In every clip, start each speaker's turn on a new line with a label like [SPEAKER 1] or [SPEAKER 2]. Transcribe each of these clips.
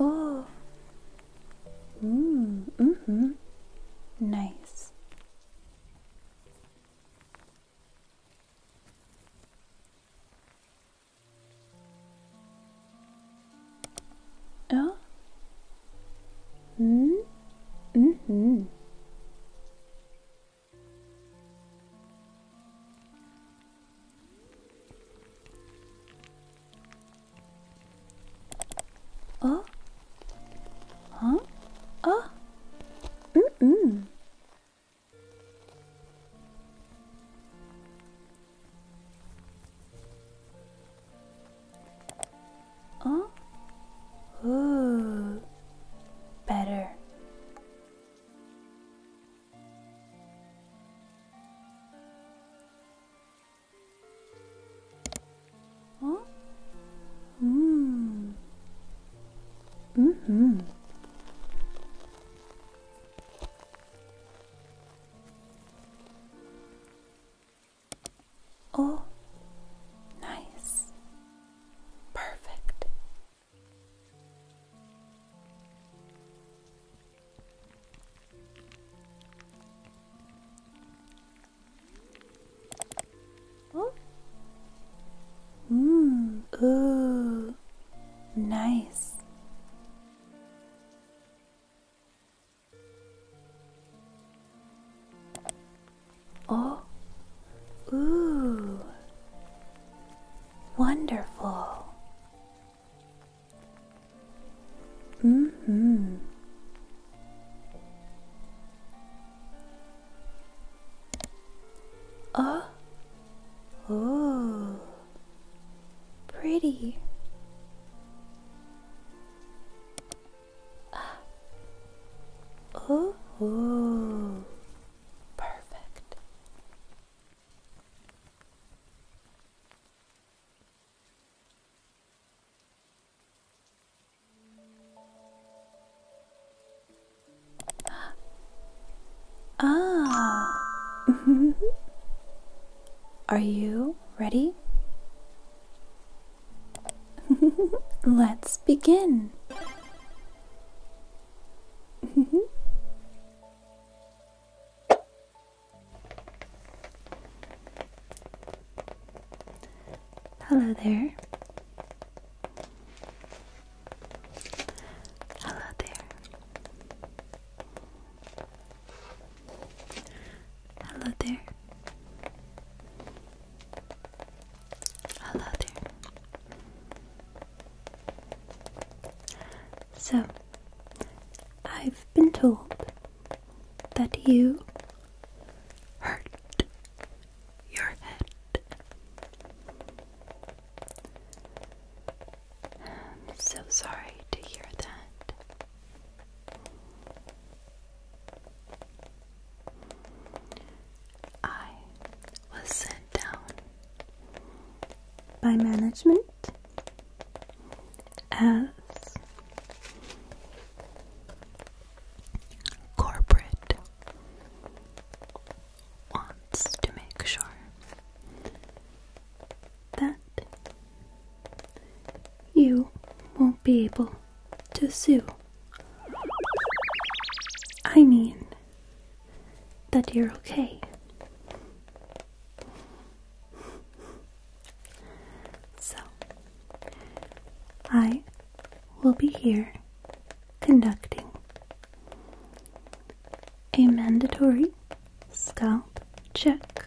[SPEAKER 1] Oh. Mm, mm hmm Nice. Oh. Mm hmm Oh? Huh? Oh? Mm-mm. Oh? Ooh. Better. Huh? Mm. hmm mm-hmm. Oh, nice. Perfect. Oh. Mmm. Ooh. Nice. Oh, ooh, wonderful. Mm hmm. Oh, ooh, pretty. Oh, ooh. Perfect. Ah. Are you ready? Let's begin. Mm-hmm. Hello there. Hello there. Hello there. Hello So, I've been told that you hurt your head. I'm so sorry to hear that. I was sent down by management as corporate wants to make sure that you won't be able to sue I mean that you're okay. So, I will be here conducting a mandatory scalp check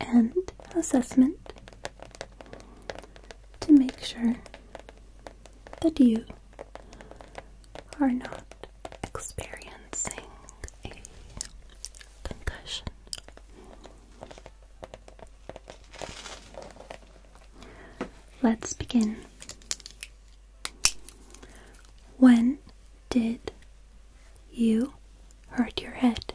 [SPEAKER 1] and assessment to make sure but you are not experiencing a concussion. Let's begin. When did you hurt your head?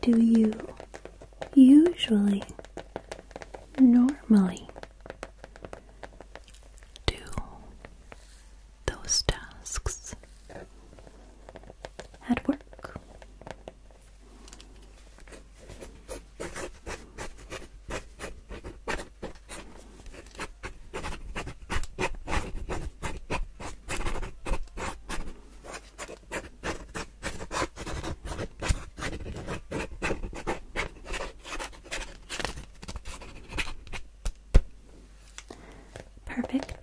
[SPEAKER 1] do you usually, normally do those tasks at work? Perfect.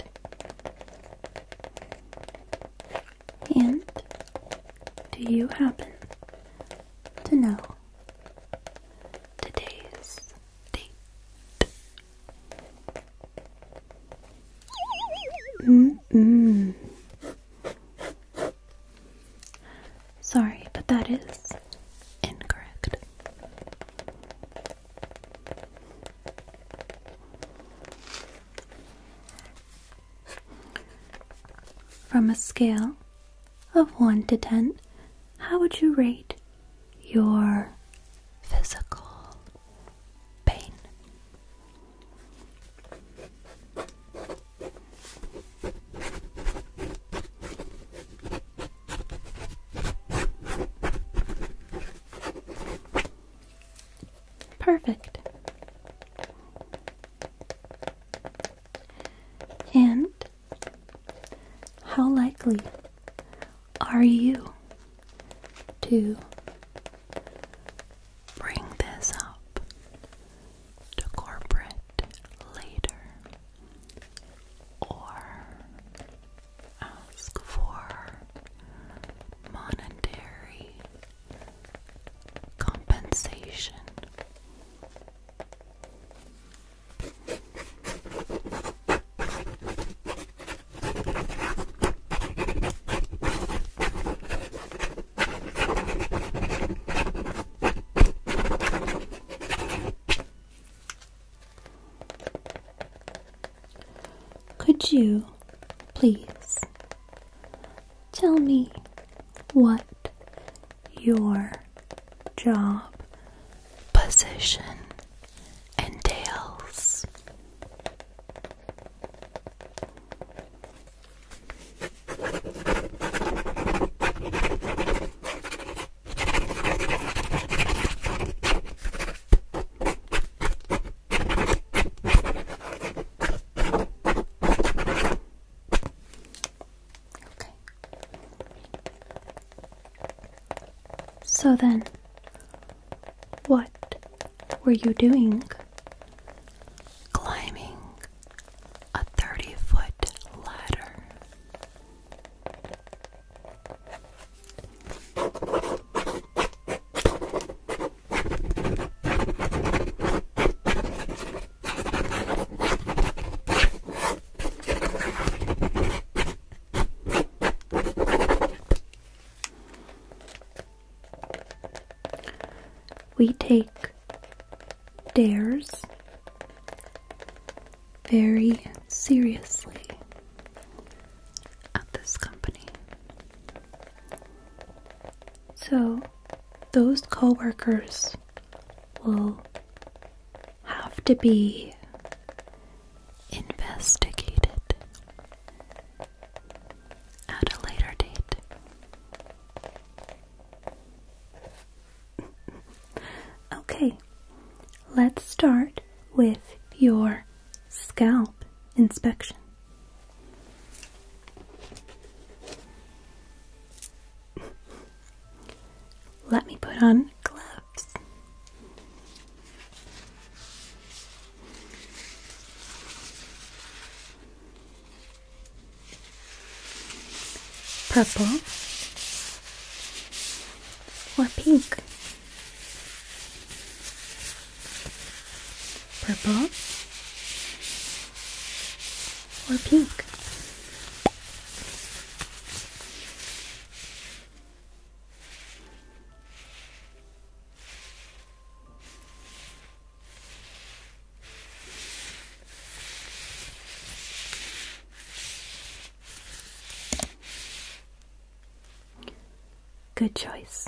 [SPEAKER 1] And do you happen to know today's date. Sorry, but that is incorrect. From a scale of 1 to 10, how would you rate your physical pain. Perfect. And how likely are you to bring this up to corporate later or ask for monetary compensation? Could you please tell me what your job position entails. Okay. So then, what were you doing climbing a 30 foot ladder? We take dares very seriously at this company. So, those co workers will have to be investigated at a later date. okay, let's start with your scalp inspection.
[SPEAKER 2] Let me put on
[SPEAKER 1] gloves. Purple or pink? Purple or pink? Good choice.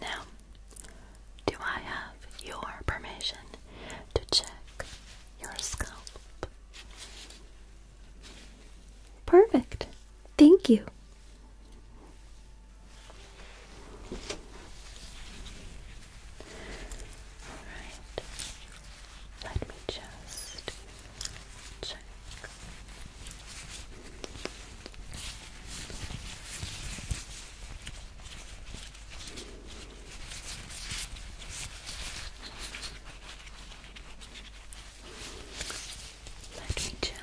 [SPEAKER 1] Now, do I have your permission to check your scalp? Perfect. Thank you. All right. Let me just Check. Let me just check.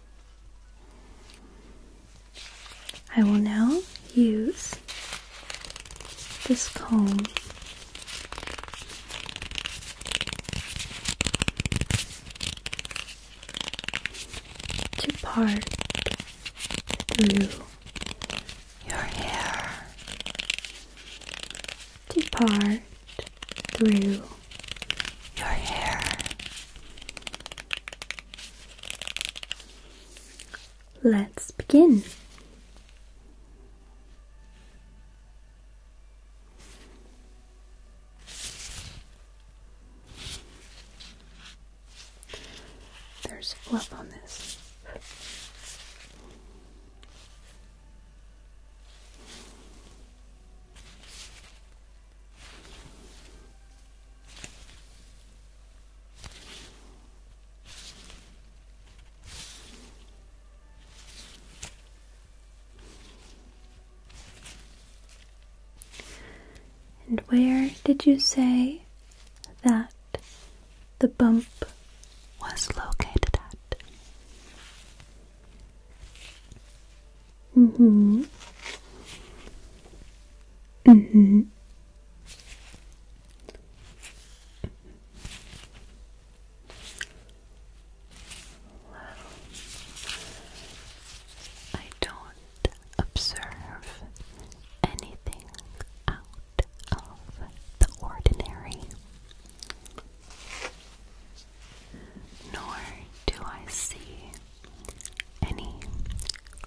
[SPEAKER 1] I will now use this comb to part through your hair depart through your hair. Let's begin. There's fluff on this. And where did you say that the bump was located at? Mm-hmm. Mm-hmm. I don't observe anything out of the ordinary nor do I see any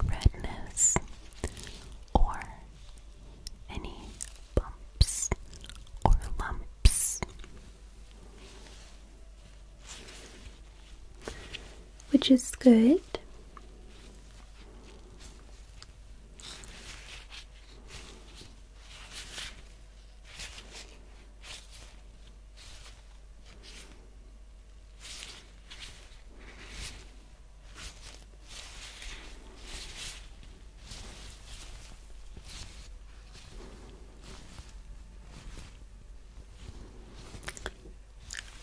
[SPEAKER 1] redness or any bumps or lumps. Which is good.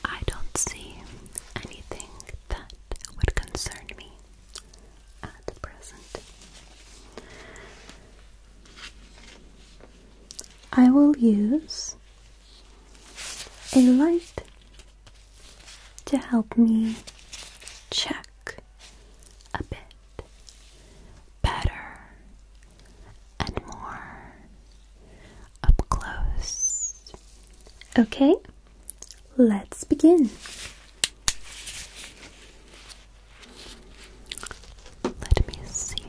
[SPEAKER 1] I don't see anything that would concern me at present. I will use a light to help me check a bit better and more up close. Okay, let's begin. Let me see.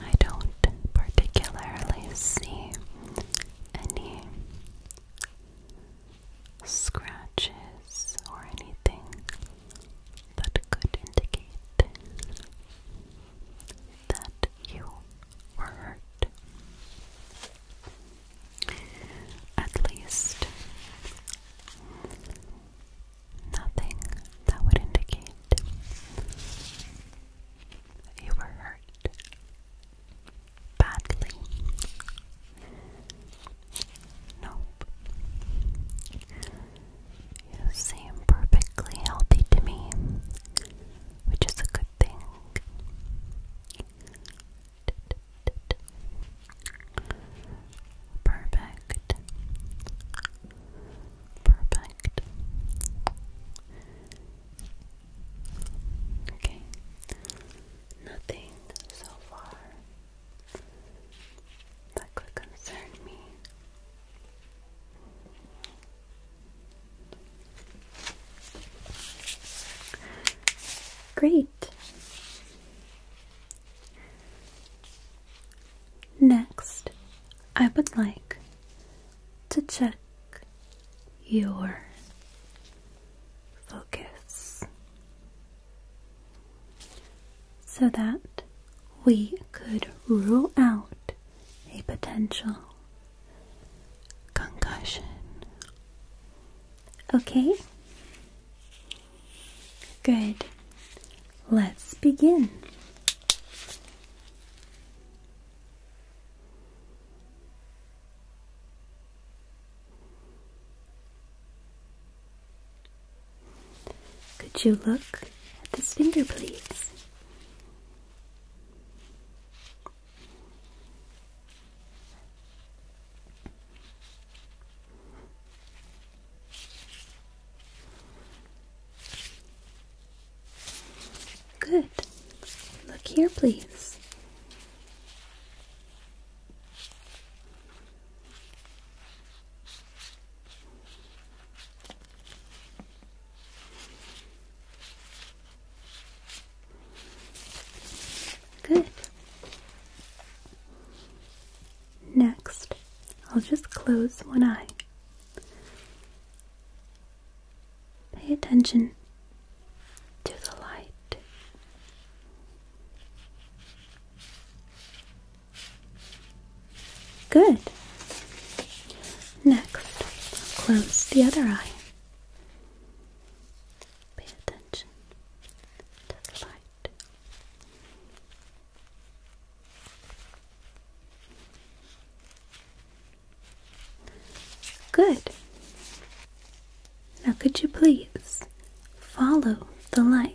[SPEAKER 1] I don't particularly see any scratches or anything that could indicate that you were hurt. At least, nothing that would indicate you were hurt badly. Nope. You seem perfectly healthy to me, which is a good thing. Perfect. Perfect. Okay. Nothing so far that could concern me. Great. Next, I would like to check your focus so that we could rule out a potential concussion. Okay? Good. Let's begin. Could you look at this finger, please? Good. Look here, please. Good. Next, I'll just close one eye. Pay attention to the light. Good. Next, close the other eye. Pay attention to the light. Good. Now, could you please follow the light?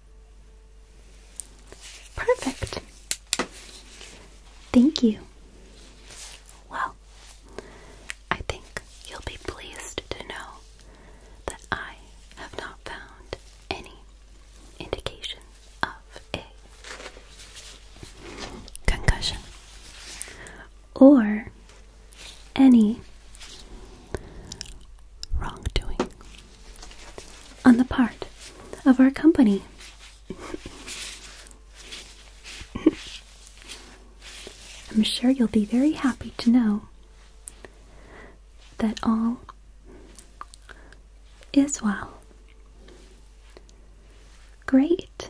[SPEAKER 1] Perfect. Thank you. Well, I think you'll be pleased to know that I have not found any indication of a concussion or any wrongdoing on the part of our company. I'm sure you'll be very happy to know that all is well. Great.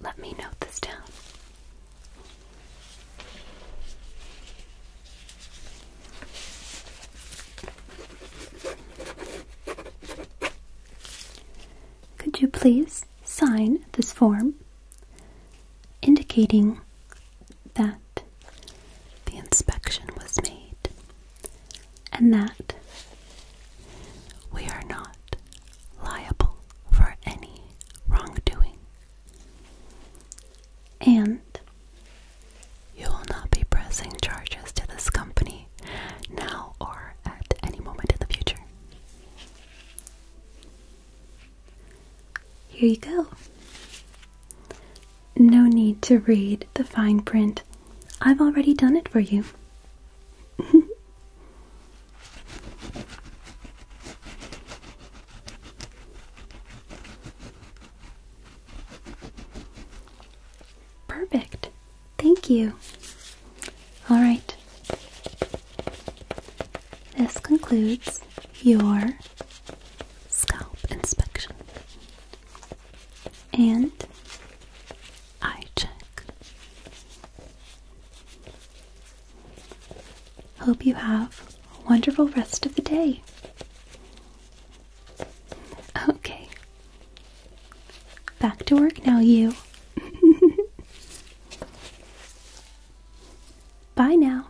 [SPEAKER 1] Let me note this down. Could you please sign this form indicating that the inspection was made and that we are not liable for any wrongdoing and you will not be pressing charges to this company now or at any moment in the future. Here you go. No need to read the fine print. I've already done it for you. Perfect. Thank you. All right. This concludes your scalp inspection and eye check. Hope you have a wonderful rest of the day. Okay. Back to work now, you. Bye now.